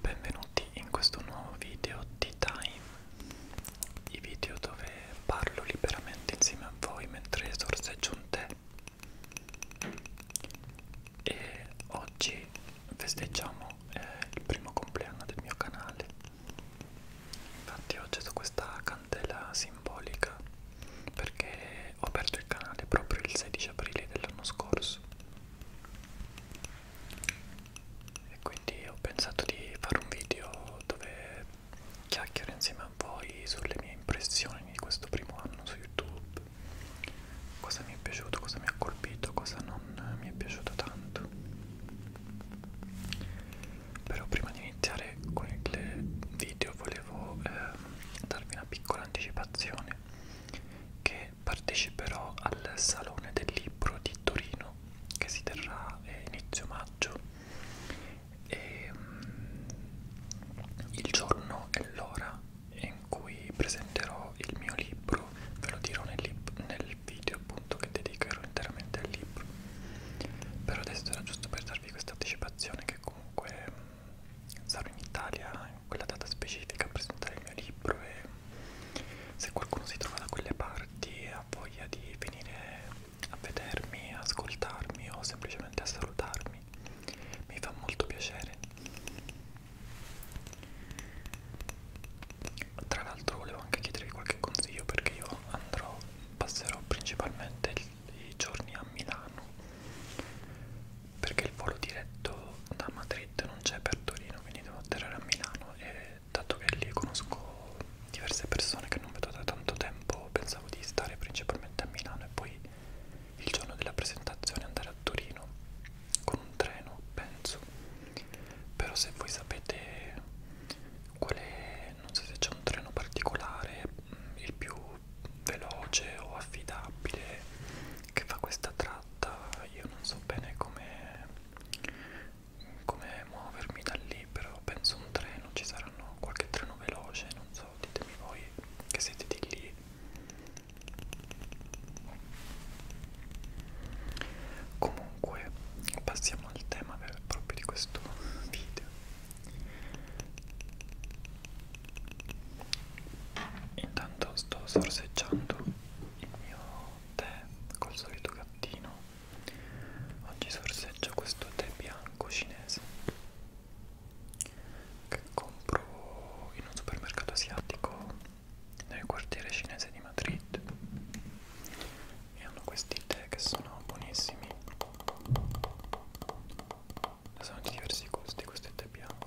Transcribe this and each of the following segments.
Benvenuti in questo nuovo video di Time, i video dove parlo liberamente insieme a voi mentre sorseggio un tè. E oggi festeggiamo eh, il primo compleanno del mio canale. Infatti ho acceso questa candela simbolica perché ho aperto il canale proprio il 16 aprile dell'anno scorso e quindi ho pensato di fare un video dove chiacchiero insieme a voi sulle mie impressioni di questo primo anno su YouTube cosa mi è piaciuto, cosa mi ha colpito, cosa non mi è piaciuto tanto però prima di iniziare con il video volevo eh, darvi una piccola anticipazione che e parteciperò al Salone del Libro di Torino che si terrà eh, inizio maggio e ehm, il giorno e l'ora in cui presenterò il mio libro, ve lo dirò nel, nel video appunto che dedicherò interamente al libro. Per adesso era giusto per darvi questa anticipazione che comunque mm, sarò in Italia quella data specifica a presentare il mio libro e se qualcuno si trova da quelle parti e ha voglia di venire a vedermi, ascoltarmi o semplicemente a salutarmi mi fa molto piacere tra l'altro volevo anche chiedervi qualche consiglio perché io andrò passerò principalmente i giorni a Milano perché il volo diretto da Madrid non c'è per Torino, quindi devo atterrare a Milano e dato che lì conosco diverse persone che non vedo da tanto tempo, pensavo di stare principalmente a Milano e poi il giorno della presentazione andare a Torino con un treno, penso. Però se voi sapete qual è, non so se c'è un treno particolare, mm, il più veloce o affidabile che fa questa tratta fatta, io non so bene come come muovermi da lì, però penso un treno, ci saranno qualche treno veloce, non so, ditemi voi che siete di lì. Comunque, passiamo al tema per, proprio di questo video. Intanto sto sorseggiando il mio tè col solito gattino oggi sorseggio questo tè bianco cinese che compro in un supermercato asiatico nel quartiere cinese di Madrid e hanno questi tè che sono buonissimi sono di diversi gusti questo è tè bianco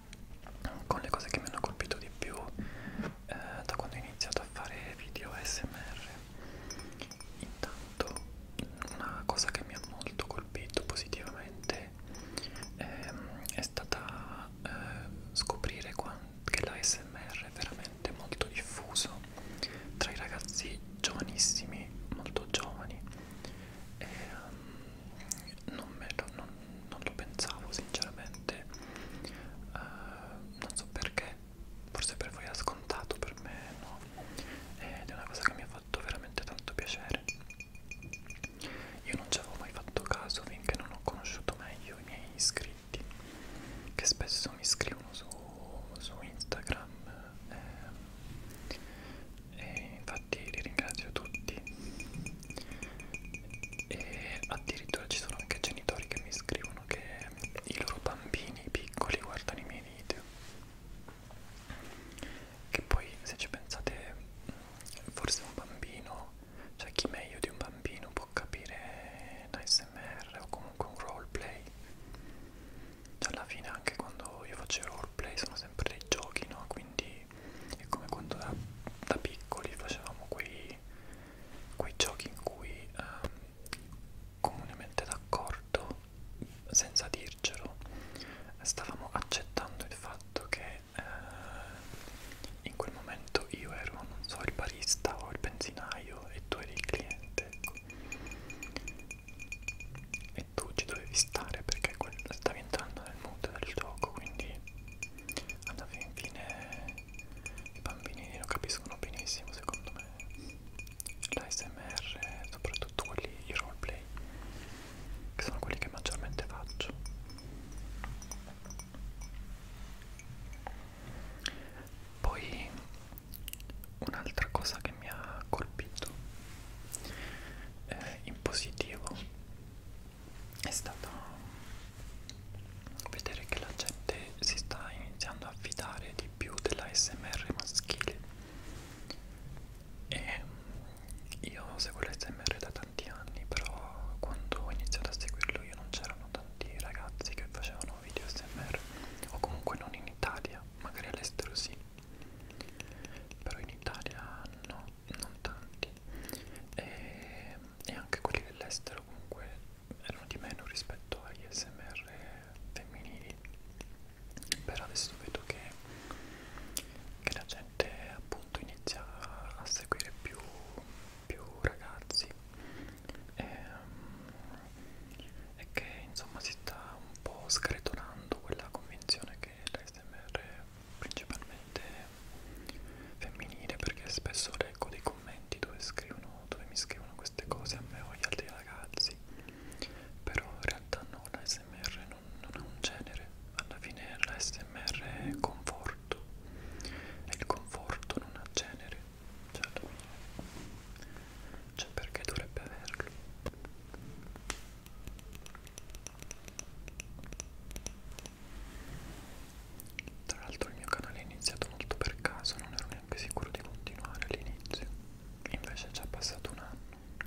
con le cose che mi hanno colpito di più eh, da quando ho iniziato a fare video ASMR intanto una cosa che mi ha molto colpito positivamente ehm, è stata eh, scoprire che l'ASMR è veramente molto diffuso tra i ragazzi giovanissimi molto giovani e, um, non, me lo, non, non lo pensavo sinceramente uh, non so perché forse per voi era scontato per me no ed è una cosa che mi ha fatto veramente tanto piacere io non ci avevo mai fatto caso finché non ho conosciuto meglio i miei iscritti che spesso mi scrivono su, su Instagram eh, e infatti li ringrazio tutti e addirittura ci sono anche genitori che mi scrivono che i loro bambini piccoli guardano i miei video che poi se ci pensate forse un bambino cioè chi meglio di un bambino può capire l'ASMR o comunque un roleplay cioè, alla fine anche quando io faccio roleplay sono sempre dei giochi no quindi è come quando da, da piccoli facevamo quei, quei giochi in cui um, comunemente d'accordo, senza dircelo, stavamo accettando il fatto che uh, in quel momento io ero, non so, il barista o il benzinaio e tu eri il cliente ecco. e tu ci dovevi stare perché stavi entrando nel mondo del gioco quindi alla fin fine i bambini lo capiscono benissimo secondo me l'ASMR soprattutto quelli i roleplay che sono quelli che maggiormente faccio poi un'altra cosa che mi ha colpito eh, in positivo è stato vedere che la gente si sta iniziando a fidare di più della SMR maschile e mm, io seguo l'SMR da tanti anni però quando ho iniziato a seguirlo io non c'erano tanti ragazzi che facevano video SMR o comunque non in Italia magari all'estero sì però in Italia no non tanti e, e anche quelli dell'estero comunque erano di meno rispetto agli smr femminili però adesso vedo che, che la gente appunto inizia a seguire più, più ragazzi e, ehm, e che insomma si sta un po' scretonando quella convinzione che l'SMR principalmente femminile perché spesso leggo dei commenti dove, scrivono, dove mi scrivono queste cose a me o agli altri ragazzi però in realtà no, la SMR non, non è un genere alla fine la SMR è conforto e il conforto non ha genere cioè, cioè perché dovrebbe averlo tra l'altro il mio canale è iniziato molto per caso, non ero neanche sicuro di continuare all'inizio. Invece è già passato un anno.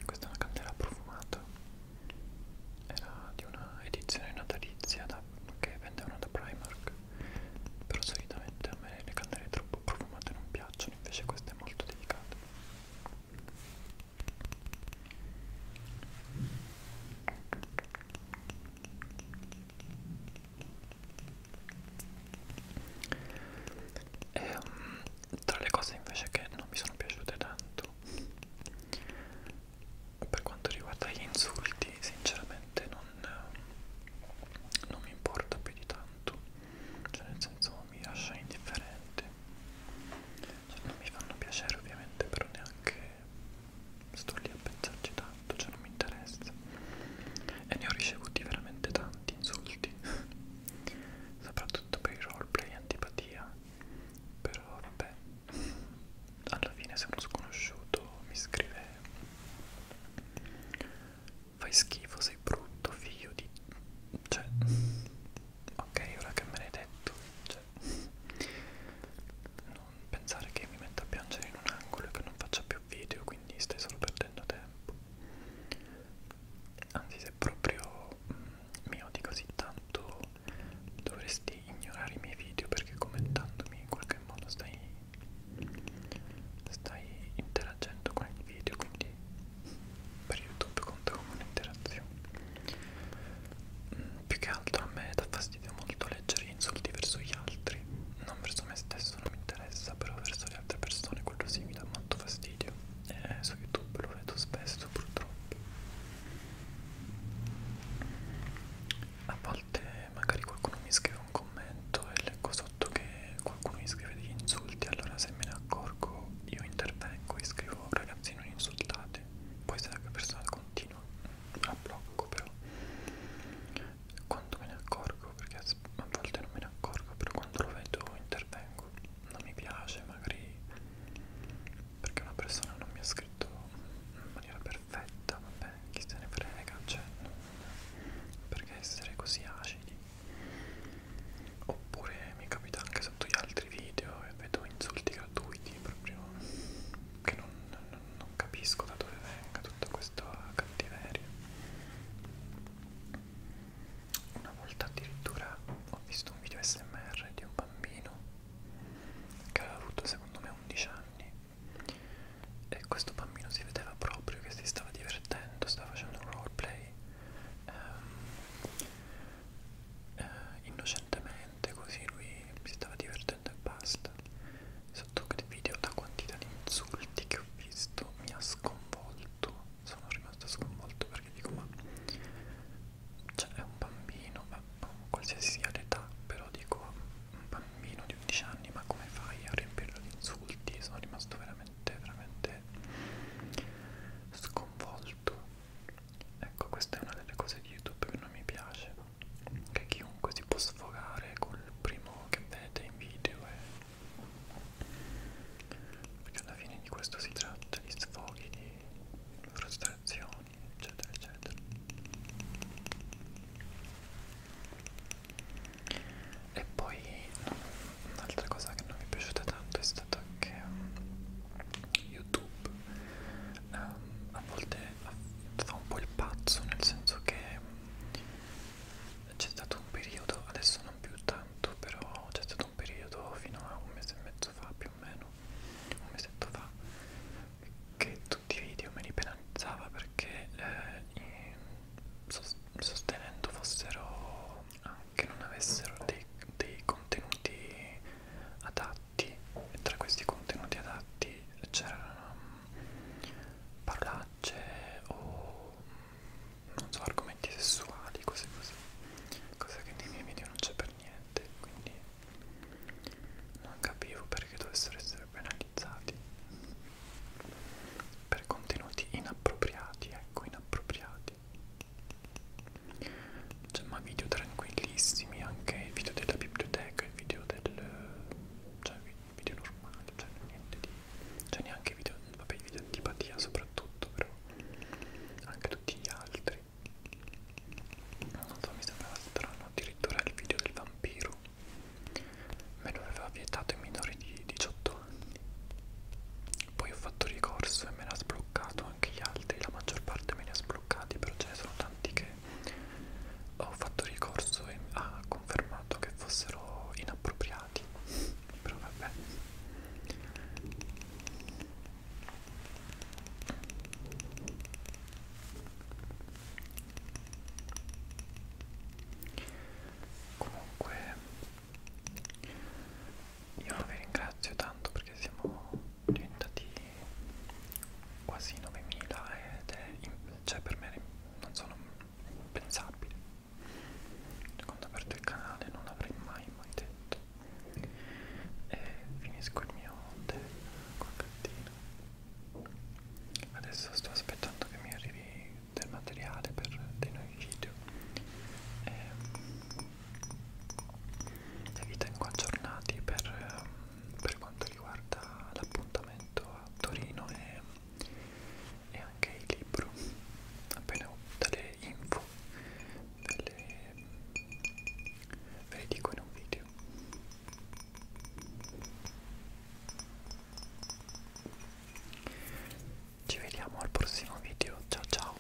Questa è una candela profumata. Era di una edizione natalizia da, che vendevano da Primark. Però solitamente a me le candele troppo profumate non piacciono, invece questa è molto delicata. E, um, tra le cose invece che non mi sono piaciute tanto per quanto riguarda gli insulti sinceramente non, non mi importa più di tanto cioè nel senso mi lascia indifferente cioè, non mi fanno piacere ovviamente però neanche sto lì a pensarci tanto, cioè non mi interessa e ne ho ricevuti veramente tanti insulti soprattutto per il roleplay antipatia però vabbè alla fine se uno sconosciuto mi scrive fai schifo sei brutto figlio di cioè ok ora che me l'hai detto cioè cioè, non pensare che mi metta a piangere in un angolo e che non faccia più video, quindi stai solo perdendo tempo. Anzi, se proprio mh, mm, mi odi così tanto, dovresti ignorare i miei video perché commentandomi in qualche modo stai, stai interagendo con il video, quindi per YouTube conta come un'interazione più che altro a me dà fastidio molto leggere insulti verso gli altri non verso me stesso non mi interessa però verso le altre persone quello sì mi dà molto fastidio eh, su youtube lo vedo spesso purtroppo a volte magari qualcuno mi scrive un commento e leggo sotto che qualcuno mi scrive degli insulti allora se me ne accorgo io intervengo e scrivo ragazzi non insultate poi se la persona continua a blocco però quando me ne accorgo perché a volte non me ne accorgo però quando lo vedo intervengo non mi piace magari perché una persona non mi ha scritto in maniera perfetta vabbè chi se ne frega cioè non perché essere così acidi oppure mi capita anche sotto gli altri video e vedo insulti che gratuiti proprio che non, non, non capisco da dove venga tutta questa cattiveria una volta addirittura ho visto un video smr di un bambino che aveva avuto secondo me 11 anni e questo bambino si vedeva proprio che si stava divertendo stava facendo un roleplay ehm, eh, innocentemente così lui si stava divertendo e basta sotto il video la quantità di insulti che ho visto mi ha sconvolto sono rimasto sconvolto perché dico ma cioè è un bambino ma boh, qualsiasi sia l'età però dico un bambino di 11 anni ma come fai a riempirlo di insulti sono rimasto veramente veramente sconvolto Ecco, questa è una delle cose di YouTube che non mi piace. Che chiunque si può sfogare col primo che vede in video e... perché alla fine di questo si tratta di sfoghi, di frustrazioni, eccetera, eccetera. E poi un'altra cosa che non mi è piaciuta tanto è stata che YouTube um, a volte fa un po' il pazzo nel senso che c'è stato un periodo, adesso non più tanto, però c'è stato un periodo fino a un mese e mezzo fa più o meno, un mesetto fa, che tutti i video me li penalizzava perché eh, sostenendo fossero, anche ah, non avessero dei, dei contenuti adatti, tra questi contenuti adatti c'erano mm, parolacce o mm, non so, argomenti sessuali, cose così, cosa che nei miei video non c'è per niente, quindi non capivo perché dovessero essere penalizzati per contenuti inappropriati, ecco, inappropriati. C'è ma video tranquillissimi, anche il video della biblioteca, il video del... cioè video normale, cioè niente di... cioè neanche video, vabbè i video antipatia soprattutto, però anche tutti gli altri. Non so, mi sembrava strano, addirittura il video del vampiro me lo aveva vietato ai minori di 18 anni. Poi ho fatto ricorso e me l'ha sbloccato sbloccato anche gli altri, la maggior parte me li ha sbloccati, però ce ne sono tanti che ho fatto ricorso e ha confermato che fossero inappropriati. Però vabbè. Comunque io vi ringrazio tanto perché siamo diventati quasi 9000 ed è, cioè per me non sono impensabile quando ho aperto il canale non l'avrei mai mai detto e finisco il mio tè con cartina adesso sto aspettando che mi arrivi del materiale per dei nuovi video e ehm, evita incontornati per, ehm, per quanto riguarda l'appuntamento a Torino e, e anche il libro appena ho delle info ve le, ve le dico in un video ci vediamo al prossimo video ciao ciao